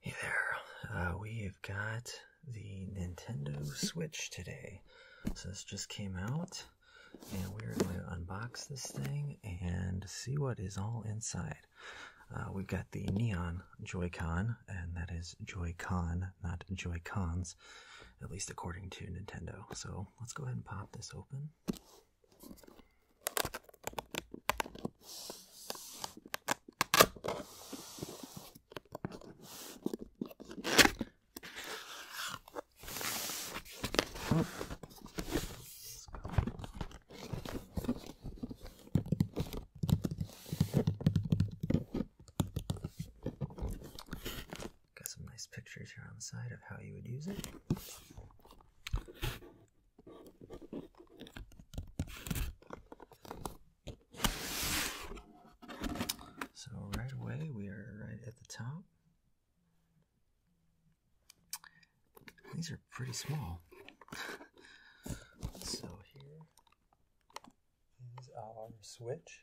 Hey there, uh, we've got the Nintendo Switch today. So this just came out, and we're going to unbox this thing and see what is all inside. Uh, we've got the Neon Joy-Con, and that is Joy-Con, not Joy-Cons, at least according to Nintendo. So let's go ahead and pop this open. Got some nice pictures here on the side of how you would use it. So right away we are right at the top. These are pretty small. so here is our switch.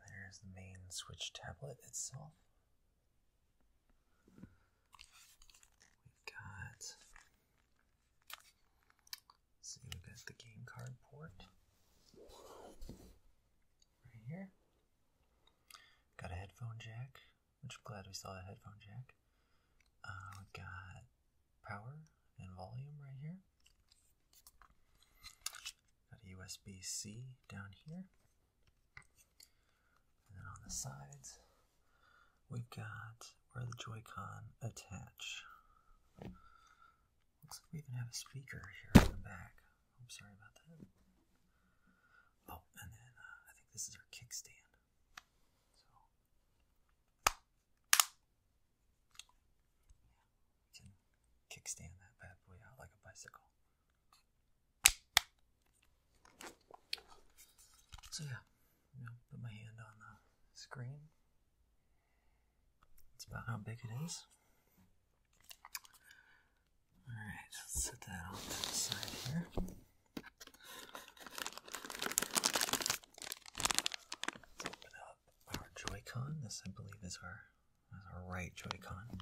There's the main Switch tablet itself. We've got. See, we've got the game card port right here. Got a headphone jack, which i glad we saw a headphone jack. Uh, we've got power and volume right here. Got a USB C down here. And then on the sides, we've got where the Joy-Con attach. Looks like we even have a speaker here on the back. I'm sorry about that. Oh, and then uh, I think this is our kickstand. So kickstand that bad boy out like a bicycle. So yeah, put my hand on the screen. That's about how big it is. Alright, let's set that off to the side here. Let's open up our Joy-Con. This, I believe, is our, our right Joy-Con.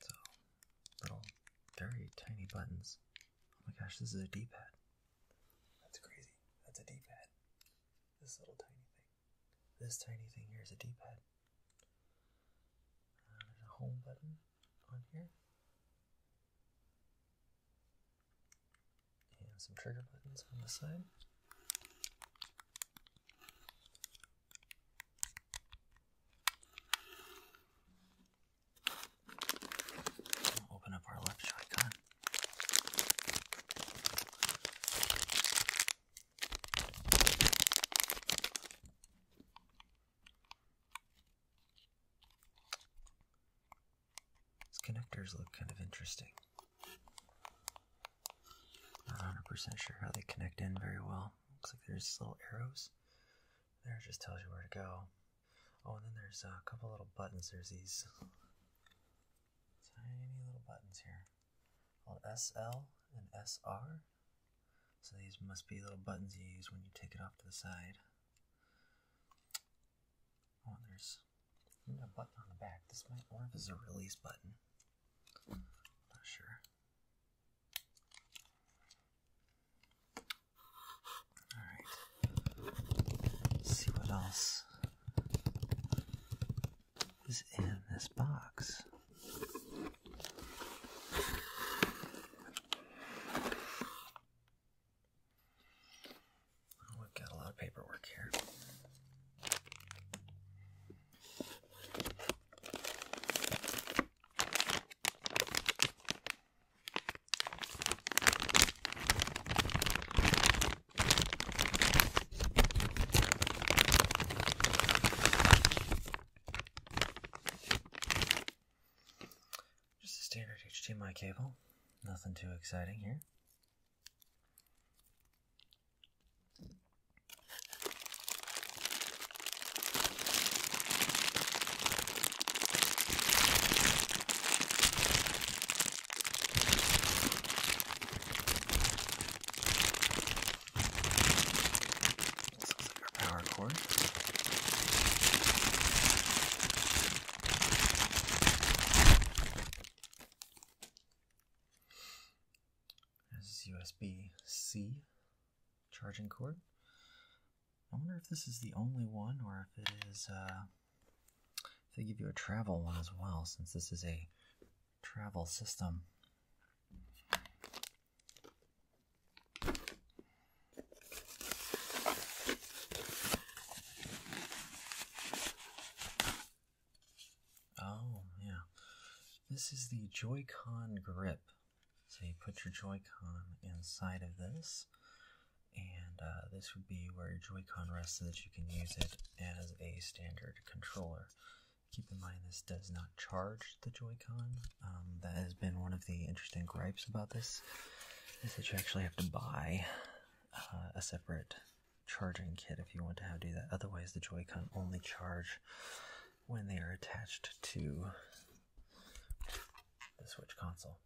So, little, very tiny buttons. Oh my gosh, this is a D-pad. That's crazy. That's a D-pad. This little tiny thing. This tiny thing here is a D-pad. Uh, there's a home button on here. And some trigger buttons on the side. Open up our left shotgun yeah. These connectors look kind of interesting. Not 100% sure how they connect in very well. Looks like there's little arrows. There just tells you where to go. Oh, and then there's a couple little buttons. There's these tiny little buttons here called SL and SR. So these must be little buttons you use when you take it off to the side. Oh, there's a button on the back. This might, or if it's a release button. not sure. Alright. See what else is in this box. Oh, have got a lot of paperwork here. Just a standard HDMI cable, nothing too exciting here. Sounds like our power cord. This is USB-C charging cord. I wonder if this is the only one or if it is, uh, if they give you a travel one as well, since this is a travel system. Oh, yeah. This is the Joy-Con grip. So you put your Joy-Con inside of this, and uh, this would be where your Joy-Con rests so that you can use it as a standard controller. Keep in mind this does not charge the Joy-Con. Um, that has been one of the interesting gripes about this, is that you actually have to buy uh, a separate charging kit if you want to do that. Otherwise, the Joy-Con only charge when they are attached to the Switch console.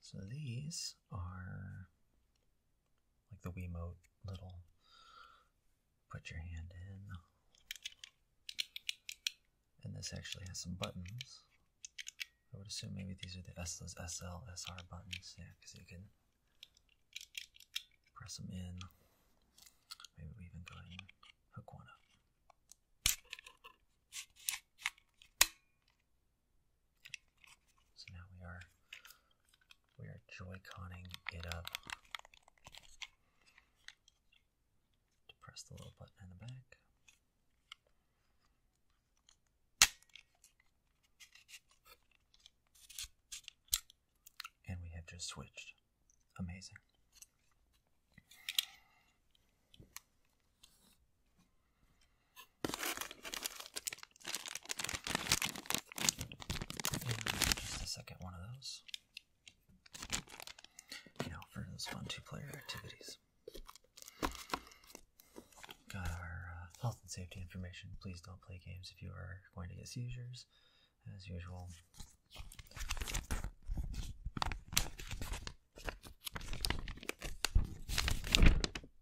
So these are like the Wiimote little put your hand in. And this actually has some buttons. I would assume maybe these are the SL, SL, SR buttons. Yeah, because you can Press them in. Maybe we even go ahead and hook one up. So now we are we are joy-conning it up to press the little button in the back. And we have just switched. Amazing. Just a second one of those. You know, for those fun two player activities. Got our uh, health and safety information. Please don't play games if you are going to get seizures, as usual.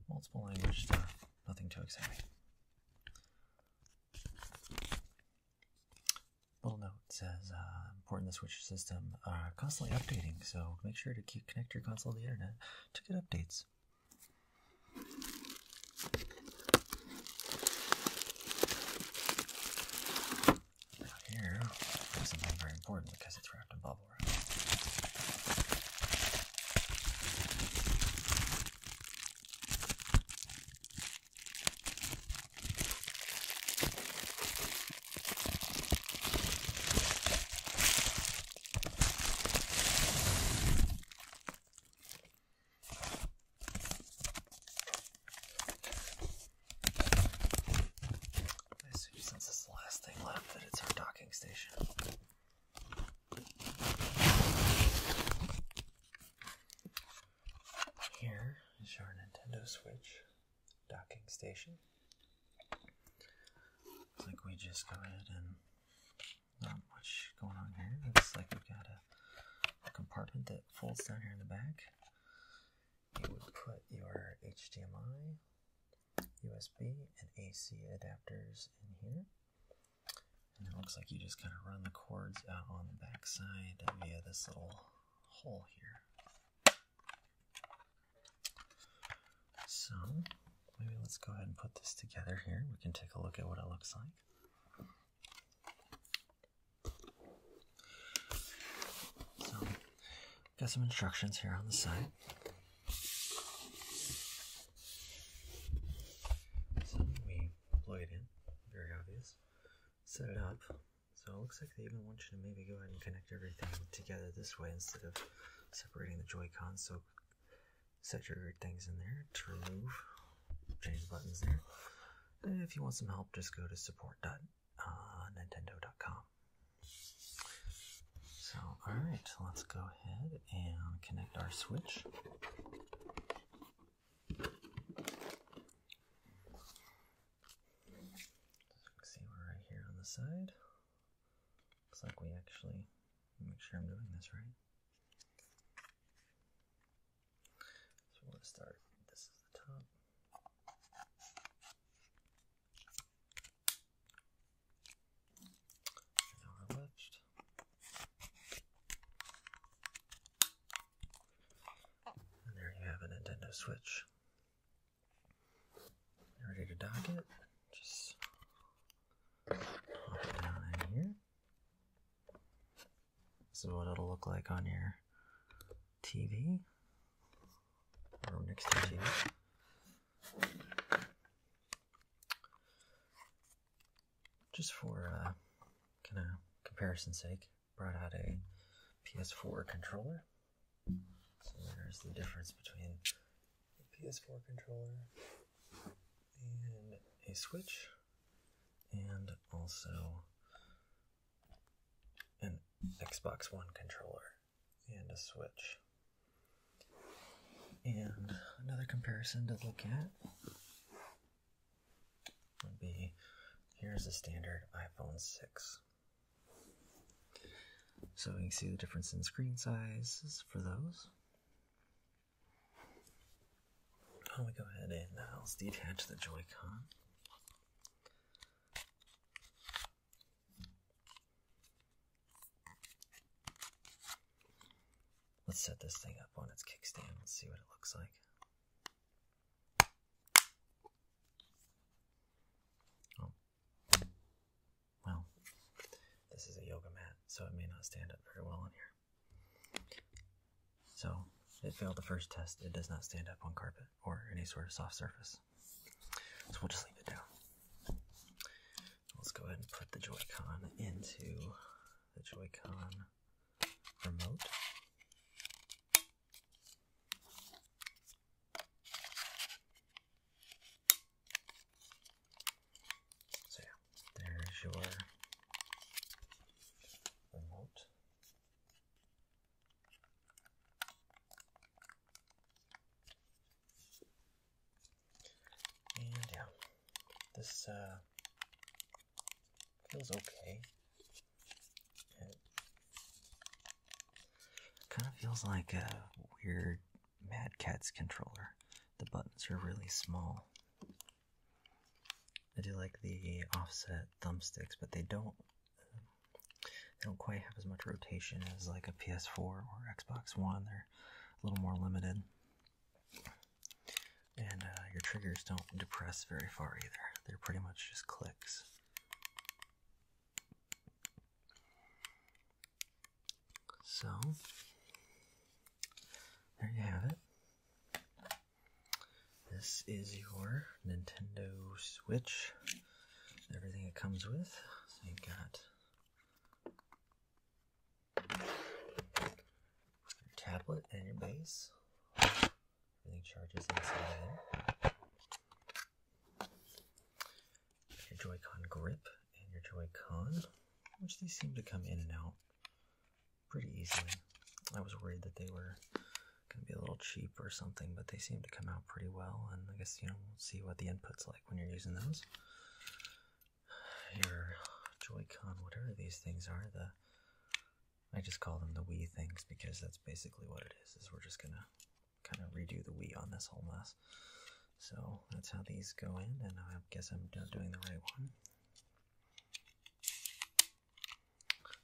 Multiple language nothing too exciting. Little note says uh, important the switch system are uh, constantly updating, so make sure to keep connect your console to the internet to get updates. Now here is something very important because it's wrapped in bubble wrap. I assume since it's the last thing left that it's our docking station. Here is your Nintendo Switch docking station. Looks like we just go ahead and not much going on here. Looks like we've got a, a compartment that folds down here in the back. You would put your HDMI, USB, and AC adapters in here. And it looks like you just kind of run the cords out on the back side via this little hole here. So maybe let's go ahead and put this together here. We can take a look at what it looks like. So, got some instructions here on the side. So we plug it in, very obvious. Set it up. So it looks like they even want you to maybe go ahead and connect everything together this way instead of separating the Joy-Cons. So set your things in there to remove, change the buttons there. if you want some help, just go to support.nintendo.com. Uh, so, alright, let's go ahead and connect our Switch. see we're right here on the side. Looks like we actually make sure I'm doing this right. So we're start. This is the top. And our left. And there you have a Nintendo Switch. Ready to dock it? Just pop it down in here. This is what it'll look like on your TV or next to TV. Just for uh, kind of comparison's sake, brought out a PS4 controller. So there's the difference between a PS4 controller and a Switch, and also an Xbox One controller and a Switch. And another comparison to look at would be here's a standard iPhone 6. So you can see the difference in screen sizes for those. Why do go ahead and uh, let's detach the Joy-Con. Let's set this thing up on its kickstand. Let's see what it looks like. Oh, well, this is a yoga mat, so it may not stand up very well on here. So it failed the first test. It does not stand up on carpet or any sort of soft surface. So we'll just leave it down. Let's go ahead and put the Joy-Con into the Joy-Con remote. So yeah, there's your remote. And yeah, this uh, feels okay. It kind of feels like a weird Mad Catz controller. The buttons are really small. I do like the offset thumbsticks, but they don't they don't quite have as much rotation as like a PS4 or Xbox One. They're a little more limited, and uh, your triggers don't depress very far either. They're pretty much just clicks. So, there you have it. This is your Nintendo Switch. Everything it comes with. So, you've got your tablet and your base. Everything charges inside there. Your Joy-Con grip and your Joy-Con, which these seem to come in and out pretty easily. I was worried that they were going to be a little cheap or something, but they seem to come out pretty well. And I guess, you know, we'll see what the input's like when you're using those. Your Joy-Con, whatever these things are, the I just call them the Wii things because that's basically what it is, is we're just gonna kind of redo the Wii on this whole mess. So that's how these go in, and I guess I'm doing the right one.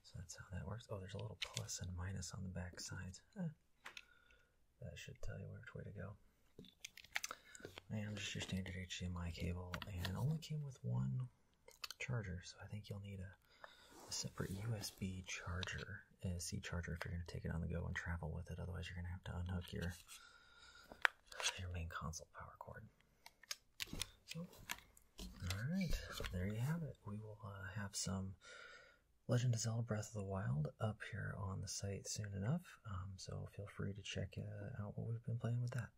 So that's how that works. Oh, there's a little plus and minus on the back sides. that should tell you which way to go. And just your standard HDMI cable, and only came with one charger, so I think you'll need a, separate USB charger, a C charger, if you're going to take it on the go and travel with it. Otherwise, you're going to have to unhook your your main console power cord. So, all right, there you have it. We will uh, have some Legend of Zelda Breath of the Wild up here on the site soon enough. Um, so feel free to check uh, out what we've been playing with that.